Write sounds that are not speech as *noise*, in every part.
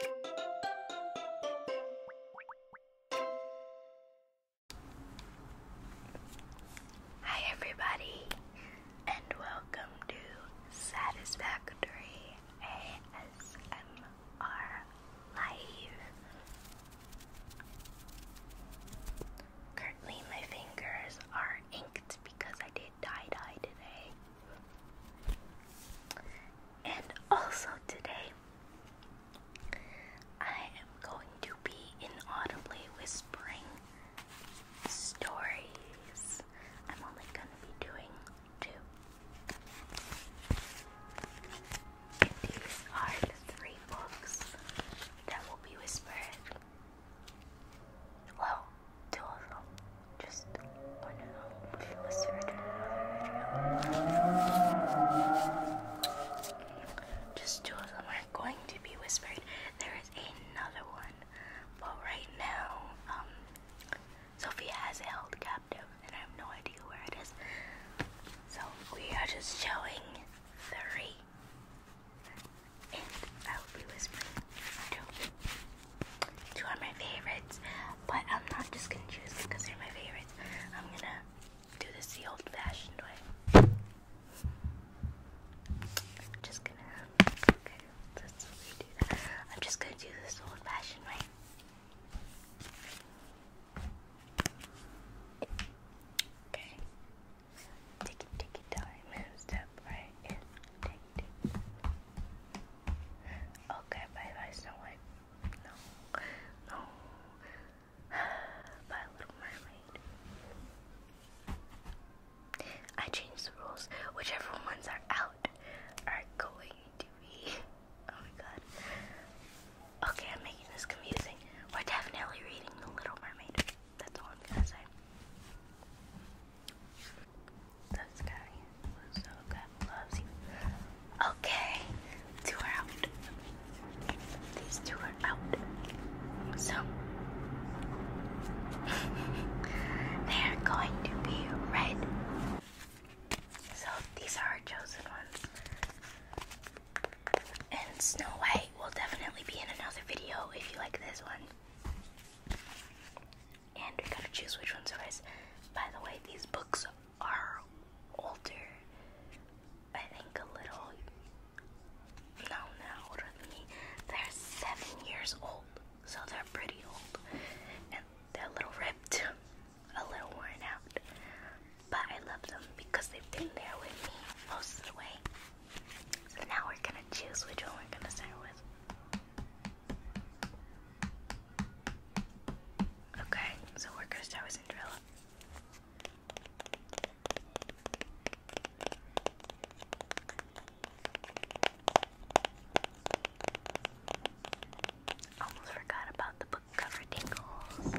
Hi, everybody, and welcome to Satisfactory ASMR Live. Currently, my fingers are inked because I did dye dye today. And also today, I am going to be inaudibly whispering stories. I'm only going to be doing two. these are the three books that will be whispered. Well, two of them. Just one of them was Just two of them are going to be whispered. There is another one, but right now, um, Sophia has held captive, and I have no idea where it is. So we are just showing three, and I will be whispering two. Two are my favorites, but I'm not just gonna choose because they're my favorites. I'm gonna do this the old fashioned way. I'm just gonna. Okay, let's redo that. I'm just gonna do this old fashioned way. Okay. Take it, take your time right Okay, bye bye, Snow White. No, no. *sighs* bye, Little Mermaid. I changed the rules. Whichever ones are out are going to be. *laughs* Oh my god. Okay, I'm making this confusing. We're definitely reading The Little Mermaid. That's all I'm gonna say. This guy was so good. Loves you. Okay, two are out. These two are out. So *laughs* they are going to be red. So these are our chosen ones. And Snow White will definitely be in another video if you like this one and we gotta choose which one's first. By the way, these books are older. I think a little. No, no, older than me. They're seven years old, so they're pretty old, and they're a little ripped, *laughs* a little worn out. But I love them because they've been there with me most of the way. So now we're gonna choose which one we're gonna start with. Okay, so we're gonna start with Cinderella. Almost forgot about the book cover tingles.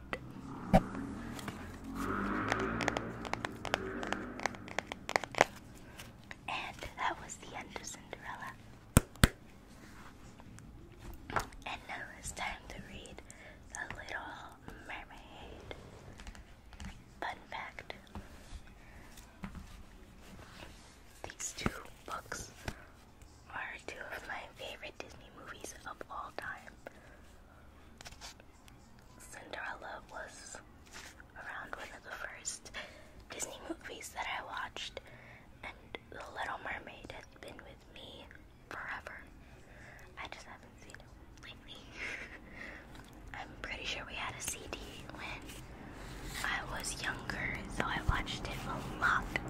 And that was the end of Cinderella. And now it's time to read The Little Mermaid. Fun fact these two books are two of my favorite Disney movies of all time. Cinderella was around one of the first Disney movies that I watched, and The Little Mermaid has been with me forever. I just haven't seen it lately. *laughs* I'm pretty sure we had a CD when I was younger, so I watched it a lot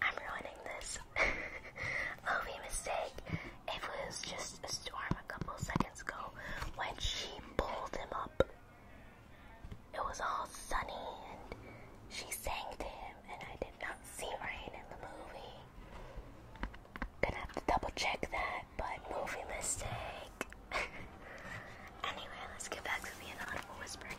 I'm ruining this. *laughs* OV oh, mistake. It was just a storm a couple seconds ago when she pulled him up. It was all sunny and she sang to him, and I did not see rain in the movie. Gonna have to double check that, but movie mistake. *laughs* anyway, let's get back to the inaudible whispering.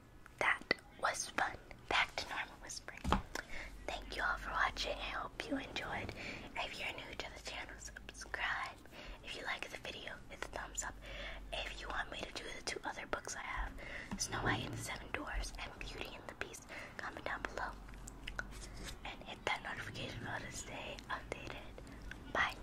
that was fun. Back to normal whispering. Thank you all for watching. I hope you enjoyed. If you're new to the channel, subscribe. If you like the video, hit the thumbs up. If you want me to do the two other books I have, Snow White and the Seven Dwarfs and Beauty and the Beast, comment down below. And hit that notification bell to stay updated. Bye.